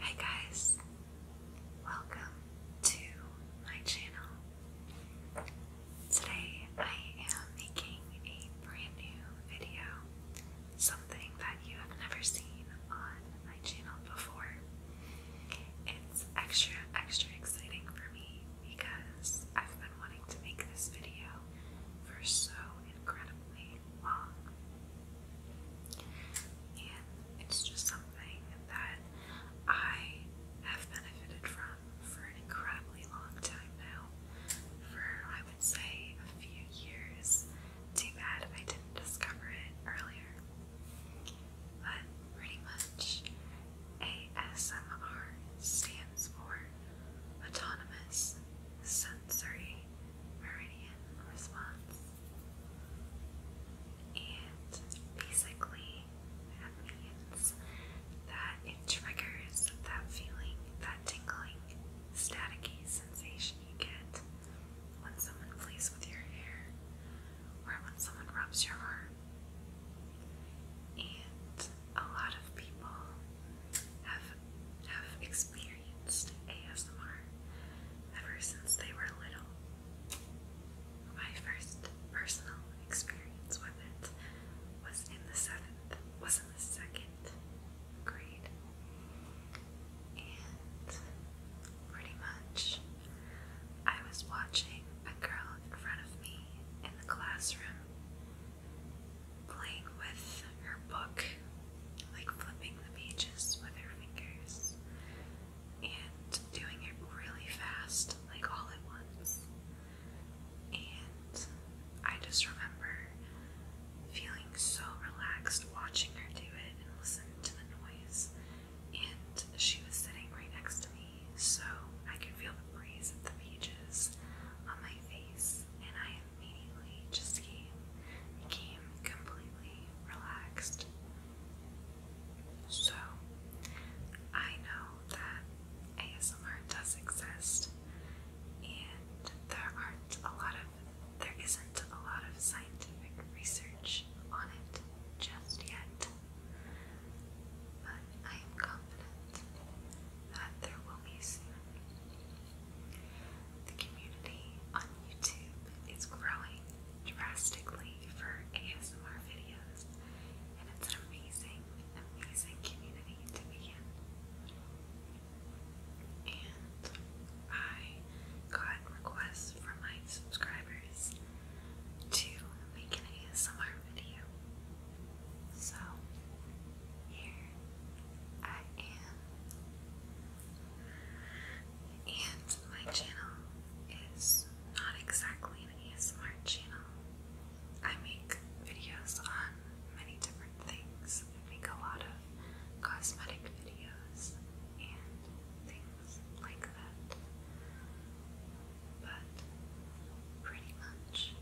Hey guys, welcome to my channel. Today I am making a brand new video, something that you have never seen on my channel before. It's extra, extra exciting for me because I've been wanting to make this video for so incredibly long. And it's just something that I have benefited from for an incredibly long time now. For, I would say, a few years. Too bad I didn't discover it earlier. But pretty much. ASMR stands for Autonomous Sensory Meridian Response. And basically, that means that it triggers that feeling, that tingling, staticky sensation you get when someone plays with your hair or when someone rubs your arm. And a lot of people have have experienced ASMR ever since they were little. My first personal experience with it was in the seventh, was in the second grade. And pretty much I was watching a girl in front of me in the classroom playing with her book, like flipping the pages with her fingers and doing it really fast, like all at once. And I just remember feeling so relaxed watching her do it and listening to the noise. And she was sitting right next to me so I could feel the breeze of the pages on my face, and I immediately just came, became completely relaxed. So, I know that ASMR does exist, and there aren't a lot of, there isn't a lot of scientific research on it just yet but I am confident that there will be soon. The community on YouTube is growing drastically for ASMR videos, and it's an amazing, amazing community to be in. And I got requests from my subscribers to make an ASMR video. So, here I am. And my channel is not exactly an ASMR channel. I make videos on many different things. I make a lot of cosmetic videos and things like that but pretty much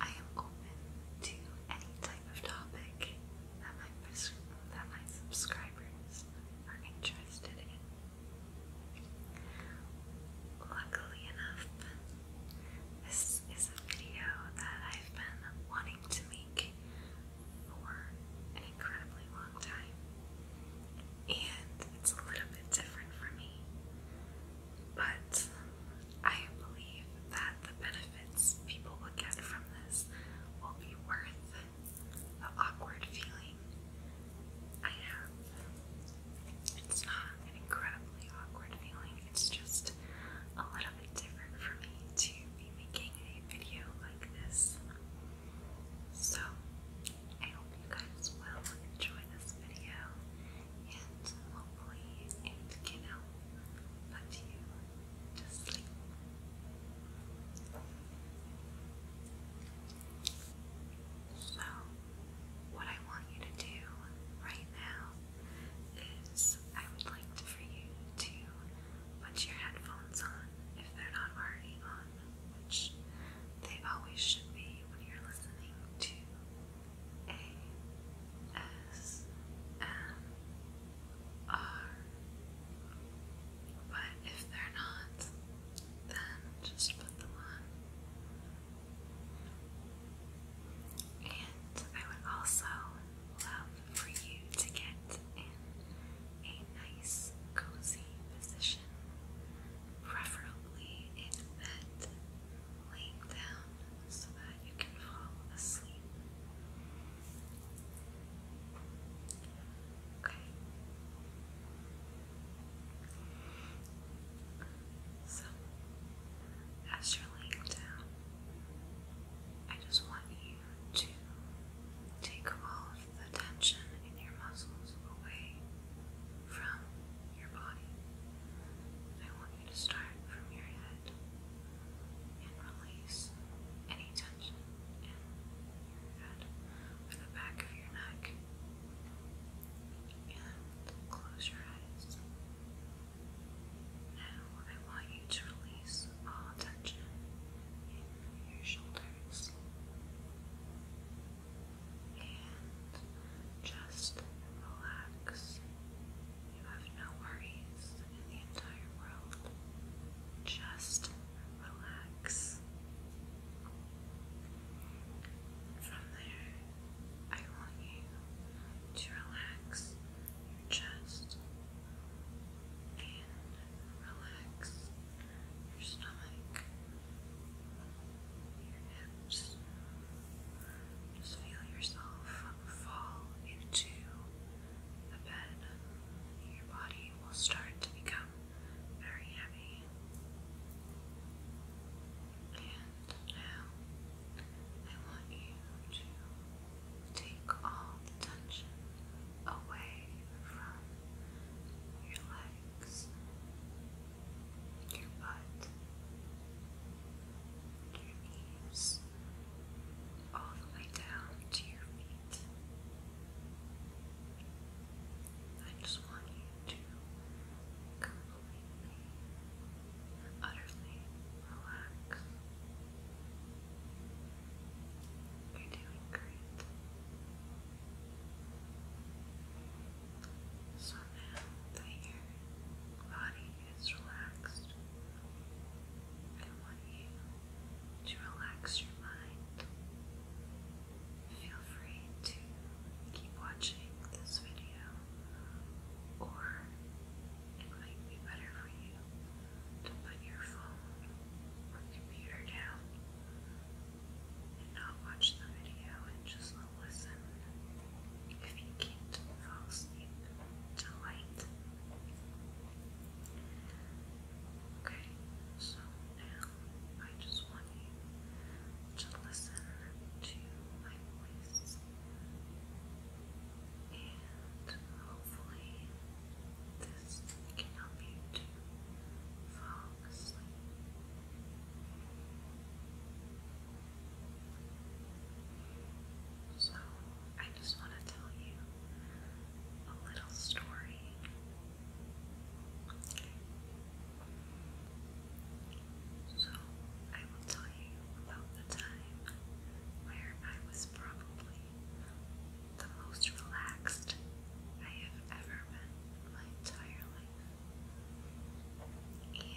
I am open to any type of topic that my that my subscribers are interested in. Luckily enough, this is a video that I've been wanting to make for an incredibly long time and it's a little bit different for me. But I believe that the benefits people will get from this will be worth the awkward feeling I have. It's not an incredibly awkward feeling, it's just a little bit different for me to be making a video like this. So, I hope you guys will enjoy this video and hopefully it can help put you to sleep. So, what I want you to do right now is I would like for you to put your headphones on if they're not already on which they always should be when you're listening to ASMR. But if they're not, then just put them on. And I would also love for you to get in a nice, cozy position preferably in bed, laying down so that you can fall asleep. Okay. So, as you're laying down, I just want you to take all of the tension in your muscles away from your body. I want you to start from your head and release any tension in your head or the back of your neck. And close your eyes. Now I want you to release all tension in your shoulders and just relax. You have no worries in the entire world. Just relax. From there, I want you to relax your chest and relax your stomach your hips. Just feel yourself fall into the bed. Your body will start to become very heavy. And now I want you to take all the tension away from your legs relax your butt, your knees, all the way down to your feet. I just want you to completely, utterly relax. You're doing great. So now that your body is relaxed, I want you to relax your mind. Feel free to keep watching this video, or it might be better for you to put your phone or computer down not watch the video and just listen. If you can't fall asleep to light. Okay, so now I just want you to listen to my voice. And hopefully this can help you to fall so, I just want to tell you a little story. So, I will tell you about the time where I was probably the most relaxed I have ever been in my entire life and it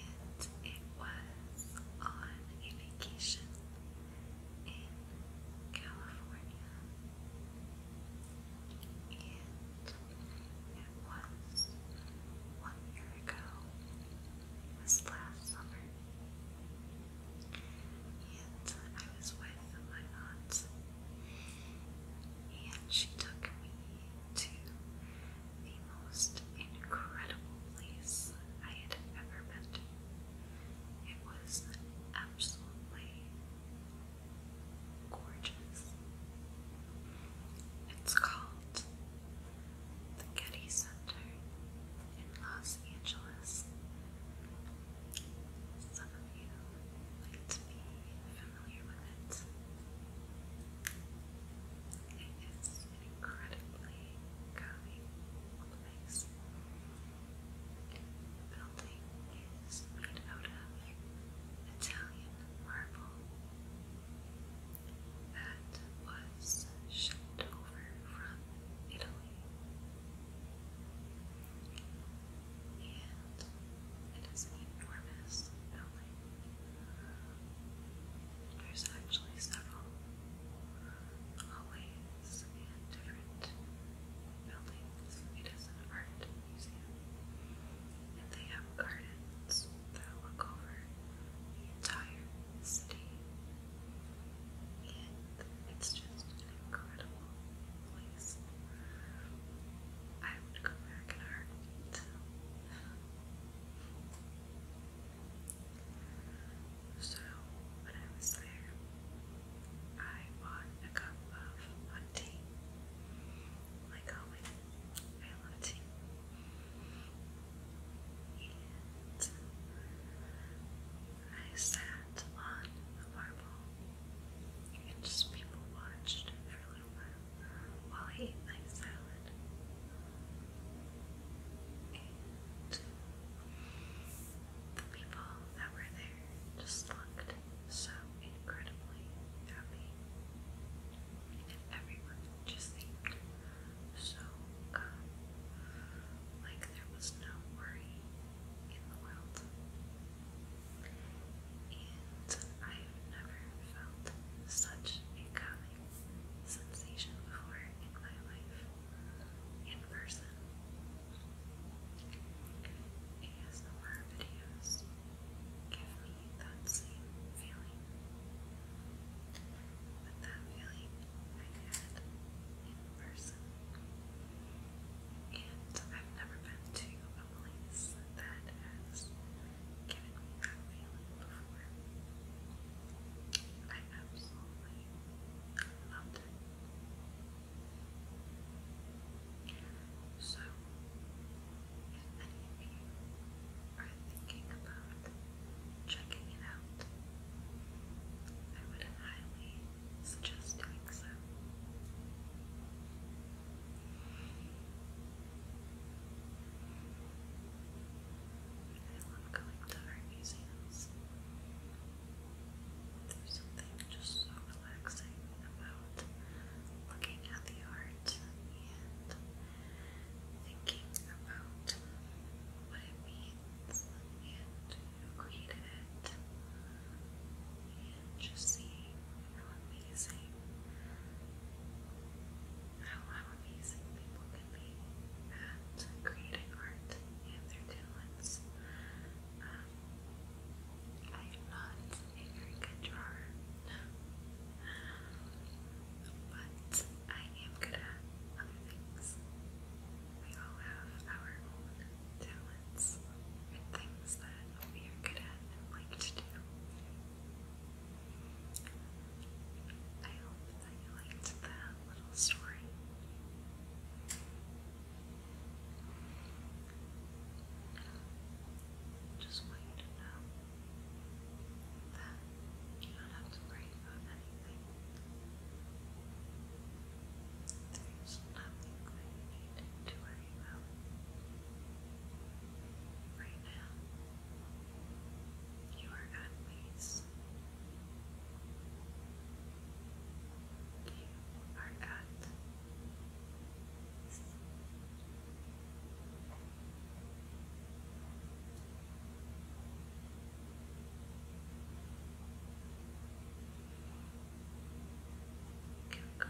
was on a vacation in California, and it was one year ago. It last summer, and I was with my aunt and she took me to the most incredible place I had ever been to. It was absolutely gorgeous. It's called the Getty Center in Los Angeles. Some of you might be familiar with It is incredibly calming The building is made out of Italian marble that was shipped over from Italy. And it is an enormous building. There's actually several hallways and different buildings. It is an art museum. And they have gardens that look over the entire city. And it's just an incredible place. I would go back in a so, when I was there, I bought a cup of hot Like always, I love tea. And I sat on the marble and just people watched for a little while while I eat salad. the people that were there just looked so incredibly happy. And everyone just seemed so calm. Like there was no worry in the world and I have never felt such a calming sensation before in my life in person. ASMR videos give me that same feeling. But that feeling I had in person. And I've never been to a place that has given me that feeling before. I absolutely loved it. So, if any of you are thinking about checking it out, I would highly suggest doing so. I love going to art museums. There's something just so relaxing about looking at the art and thinking about what it means and who created it and just seeing how amazing. How, how amazing people can be at creating art and their talents. Um, I am not a very good drawer, but I am good at other things. We all have our own talents and things that we are good at and like to do. I hope that you liked that little story. Just want you to know that you don't have to worry about anything. There's nothing that you need to worry about right You are at peace. You are at peace. You can go to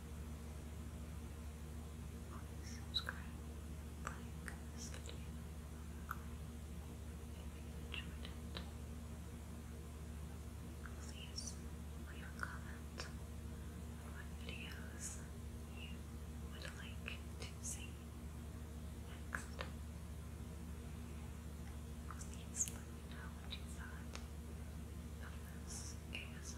Please subscribe, like this video you leave a comment on what videos you would like to see next. Please let me know what you thought of this ASMR